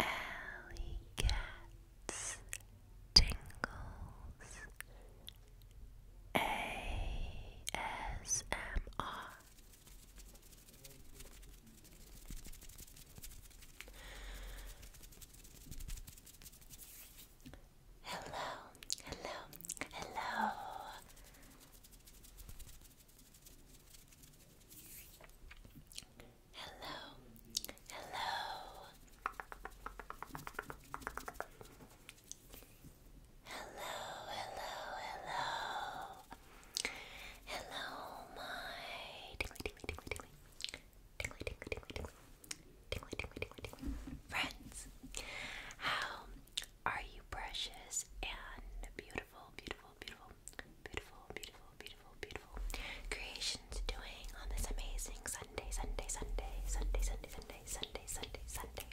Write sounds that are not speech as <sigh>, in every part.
Alley Cats Tingles ASMR Hello, hello, hello. Hello, hello. Hello, hello, hello. Hello, my tingly, tingly, tingly, tingly. Tingly, tingly, tingly, tingly. Friends, how are you precious and beautiful, beautiful, beautiful, beautiful, beautiful, beautiful, beautiful creations doing on this amazing Sunday, Sunday, Sunday, Sunday, Sunday, Sunday, Sunday, Sunday, Sunday.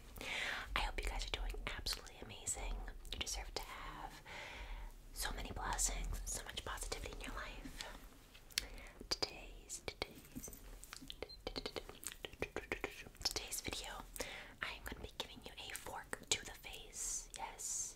I hope you guys are doing absolutely amazing. You deserve to have so many blessings, so much positivity in your life. Today's, today's, today's video, I am going to be giving you a fork to the face. Yes,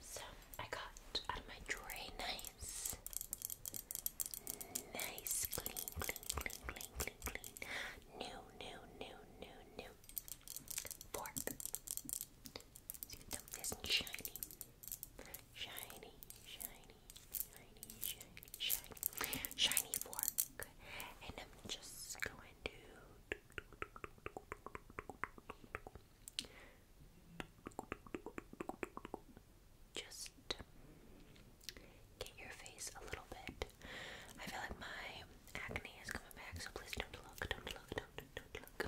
So I got out of my tray nice, nice, clean, clean, clean, clean, clean, clean, new, new, new, new, new fork. So nice and shiny, shiny, shiny, shiny, shiny, shiny fork, and I'm just going to. Just get your face a little bit. I feel like my acne is coming back, so please don't look, don't look, don't, don't look.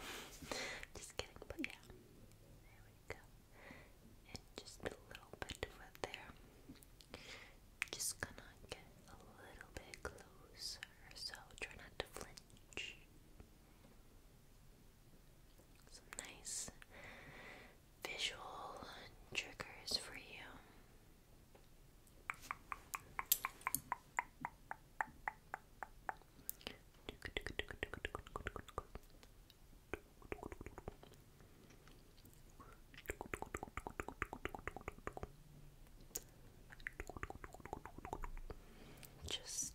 just kidding, but yeah. just a little bit of there. Just gonna get a little bit closer, so try not to flinch. Some nice visual triggers for you. Just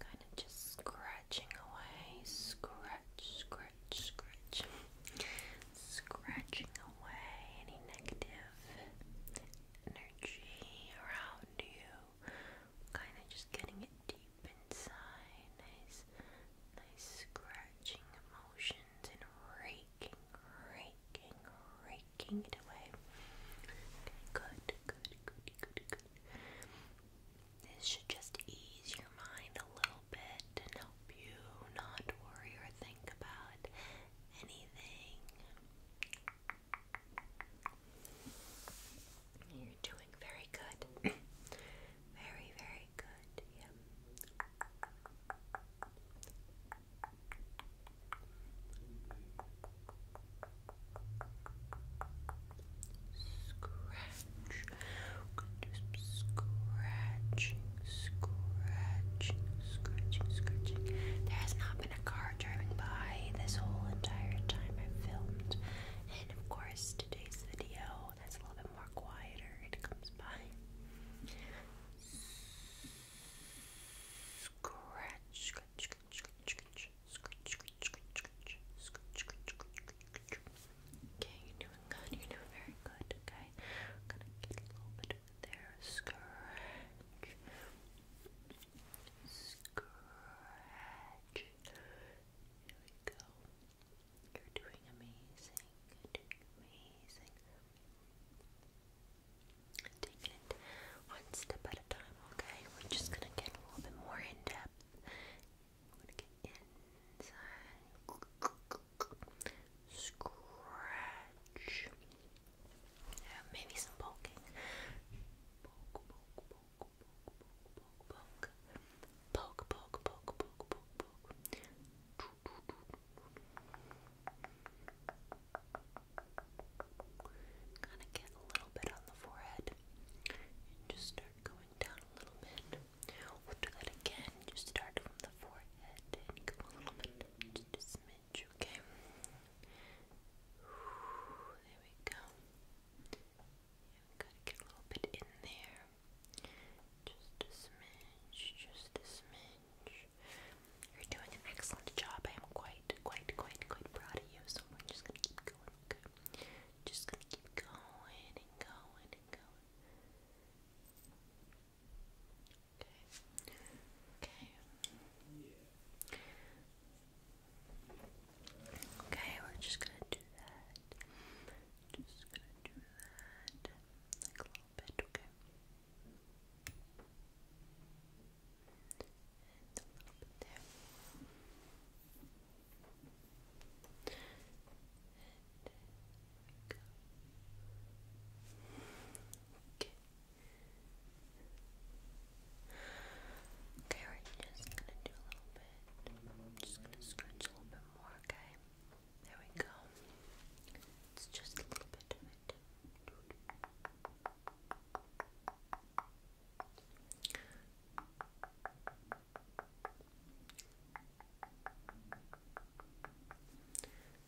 Kind of just scratching away, scratch, scratch, scratch, scratching away any negative energy around you. Kind of just getting it deep inside. Nice, nice scratching emotions and raking, raking raking, it away. good, good, good, good, good. This should just ease your mind a little bit and help you not worry or think about anything. You're doing very good. <coughs> very, very good. Yep. Scratch. We're going to do some scratching, scratching, scratching, scratching. There has not been a car driving by this whole entire time I've filmed. And of course, today's video that's a little bit more quieter, it comes by. Scratch, Okay, you're doing good. You're doing very good. Okay, I'm gonna get a little bit of there. Scratch, scratch. There we go. You're doing amazing. You're doing amazing. Taking it one step at a time, okay? We're just gonna get a little bit more in depth. We're gonna get inside, scratch, maybe some poking. Poke, poke, poke, poke, poke, poke, poke, poke, poke, poke, poke, poke. Kind of get a little bit on the forehead and just start going down a little bit. We'll do that again. Just start from the forehead and go a little bit, just a smidge, okay? There we go. gotta get a little bit in there. Just a smidge, just a smidge. You're doing an excellent job. I am quite, quite, quite, quite proud of you. So we're just gonna keep going. Okay? Just gonna keep going and going and going. Okay. Okay. Okay, we're just gonna do that. Just gonna do that okay? Okay. Okay, we just gonna do a little bit. I'm just gonna scratch a little bit more, okay? There we go. It's just a little bit of it. I'm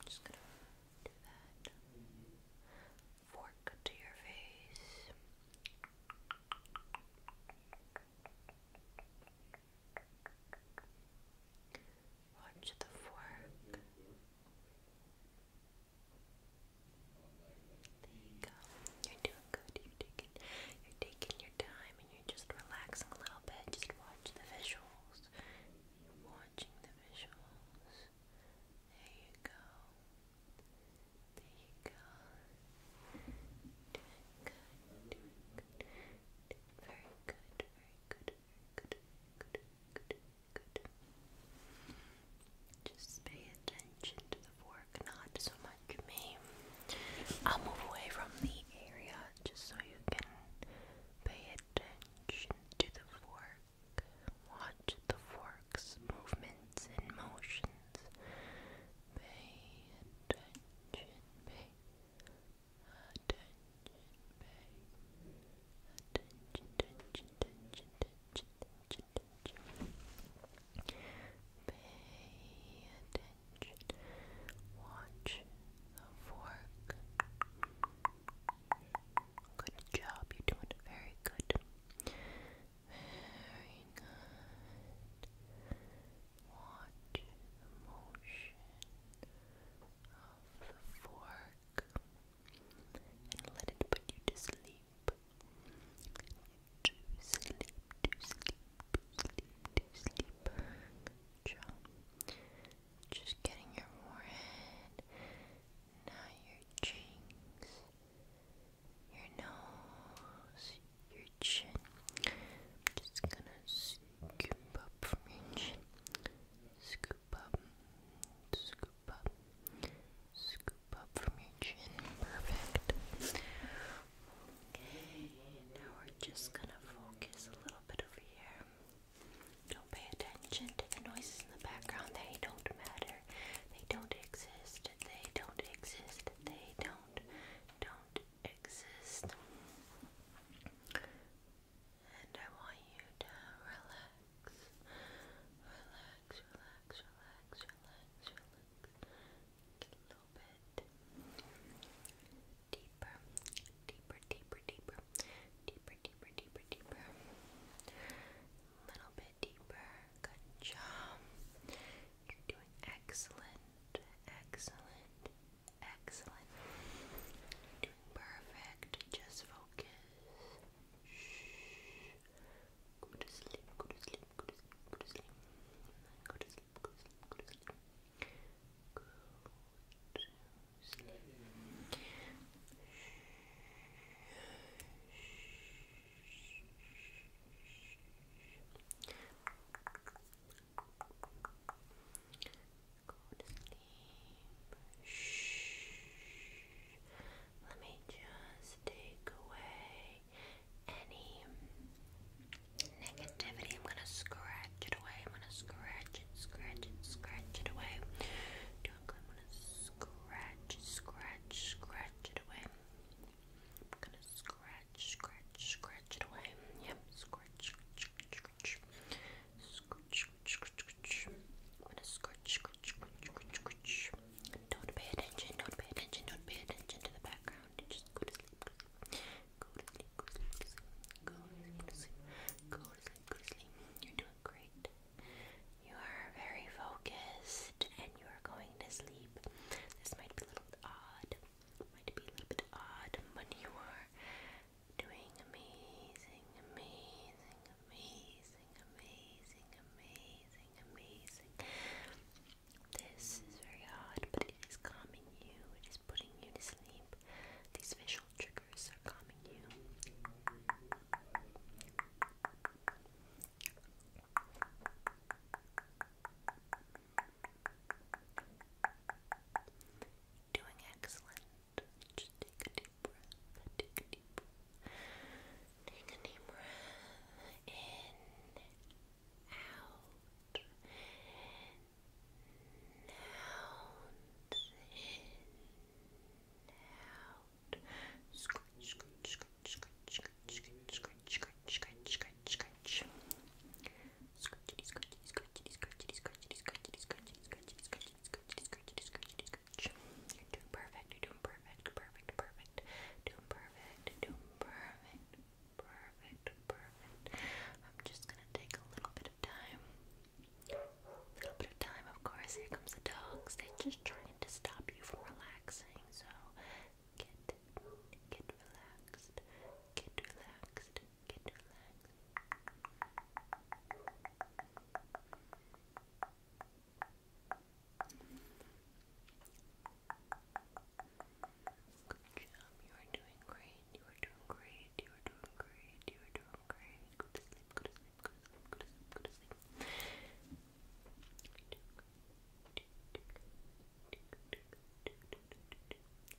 just gonna fork to your face. Watch the fork. There you go. You're doing good. You're taking, your time, and you're just relaxing a little bit. Just watch the visuals. You're watching the visuals. There you go. There you go. Doing good. Doing good. Very good. Very good. Very good. Very good. good. good. Just pay attention to the fork, not so much me. I'll move away from the area just so you can pay attention to the fork. Watch the fork's movements and motions. Pay attention, pay attention attention, Pay attention. Watch the fork. Good job, you're doing very good. Very good. Watch motion of the fork and let it put you to sleep. To sleep, to sleep, to sleep, to sleep. Just getting your forehead, now your cheeks, your nose, your chin. just gonna scoop up from your chin. Scoop, scoop up, scoop up from your chin. Perfect. now we're just gonna focus a little bit over here. Don't pay attention to the noises in the background, they don't matter. They don't exist. They don't exist. They don't don't exist and I want you to relax, relax, relax, relax, relax, relax, a little bit deeper, deeper, deeper, deeper, deeper, deeper, deeper, deeper, a little bit deeper, good job, you're doing excellent, excellent. Excellent. perfect. Just focus. Shh. Go to sleep. Go to sleep. Go to sleep. Go to sleep. Go to sleep. Go to sleep. Go to sleep. Go to Shh. Let me just take away any negativity. I'm gonna scratch it away. I'm gonna scratch it, scratch it, scratch it away. I'm gonna scratch, scratch, scratch it away. I'm gonna scratch, scratch, scratch it away. Yep, scratch, scratch, scratch, scratch, I'm go to sleep. Go to sleep, go to sleep, go to sleep, go to sleep, You're doing great. You are very focused and you are going to sleep. This might be a little bit odd. Might be a little bit odd, but you are doing amazing, amazing, amazing, amazing, amazing, amazing. This is very hard, but it is calming you, it is putting you to sleep. These visual triggers are calming you. Doing excellent. Just take a deep breath. Take a deep breath. Take a deep breath. In. Out. In. Out. In. Out. Scratch, scratch, scratch, scratch, scratch, scratch, scratch, scratch, scratch, scratch. Scratchity, scratchity, scratchity, scratchity, scratchity, scratchity, scratchity, scratchity, scratchity, scratchity, scratchity, scratchity, scratch. You're doing perfect, you're doing perfect, perfect, perfect, doing perfect, doing perfect, perfect, perfect. I'm just gonna take a little bit of time. A little bit of time, of course. Here comes the dogs. They're just trying to stop you from relaxing, so get get relaxed. Get relaxed get relaxed. Good job, you are doing great, you are doing great, you are doing great, you are doing great. Go to sleep, go to sleep, go to sleep, go to sleep, go to sleep. Go to sleep. Good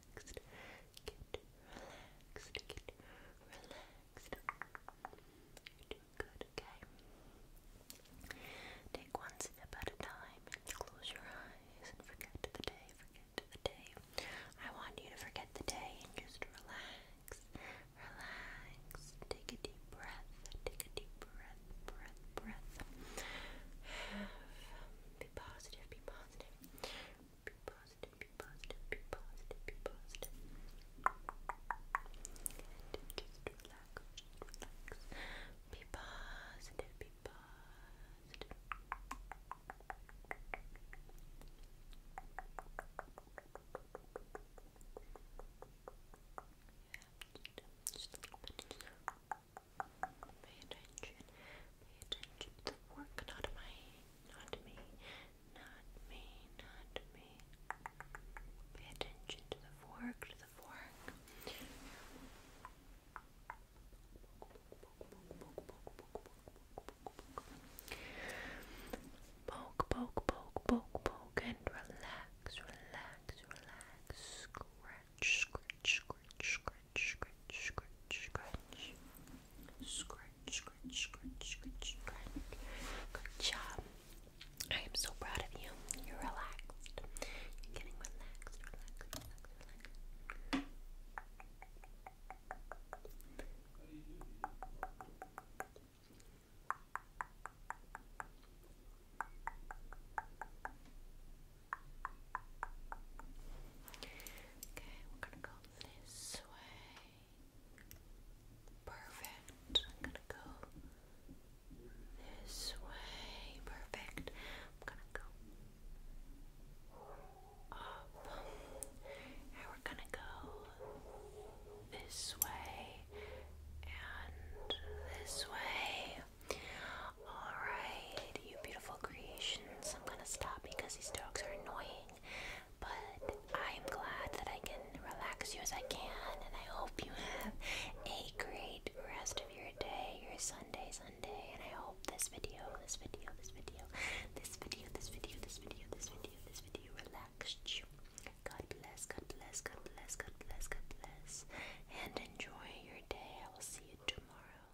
relaxed, get relaxed, get relaxed. You're doing good, okay? Take one step at a time close your eyes and forget the day, forget the day. I want you to forget the day and just relax, relax. Take a deep breath, take a deep breath, breath, breath. <sighs> be positive, be positive be positive, be positive, be positive, be positive. And just relax, relax. Be positive, be positive. Yeah, just, just Pay attention Pay attention to the work, not my, not me, not me, not me. Pay attention to the fork, to the fork. Poke, poke, poke, poke, poke, and relax, relax, relax. Scratch, scratch, scratch, scratch scratch, scratch, scratch, scratch, scratch, scratch, scratch, scratch. Good job. I am so proud of you. You're relaxed. You're getting relaxed, relaxed, relaxed, relaxed. Okay, we're gonna go this way. Perfect. I'm gonna go this way. Perfect. I'm gonna go up. And we're gonna go this way and this way. Alright, good, you beautiful creations. I'm gonna stop because these dogs are annoying. But I'm glad that I can relax you as I can, and I hope you have a great rest of your day, your Sunday, Sunday. And I hope this video, this video, this video, this video, this video, this video, this video, this video relaxed you. God bless, God bless, God bless, God bless, God bless, and enjoy your day. I will see you tomorrow.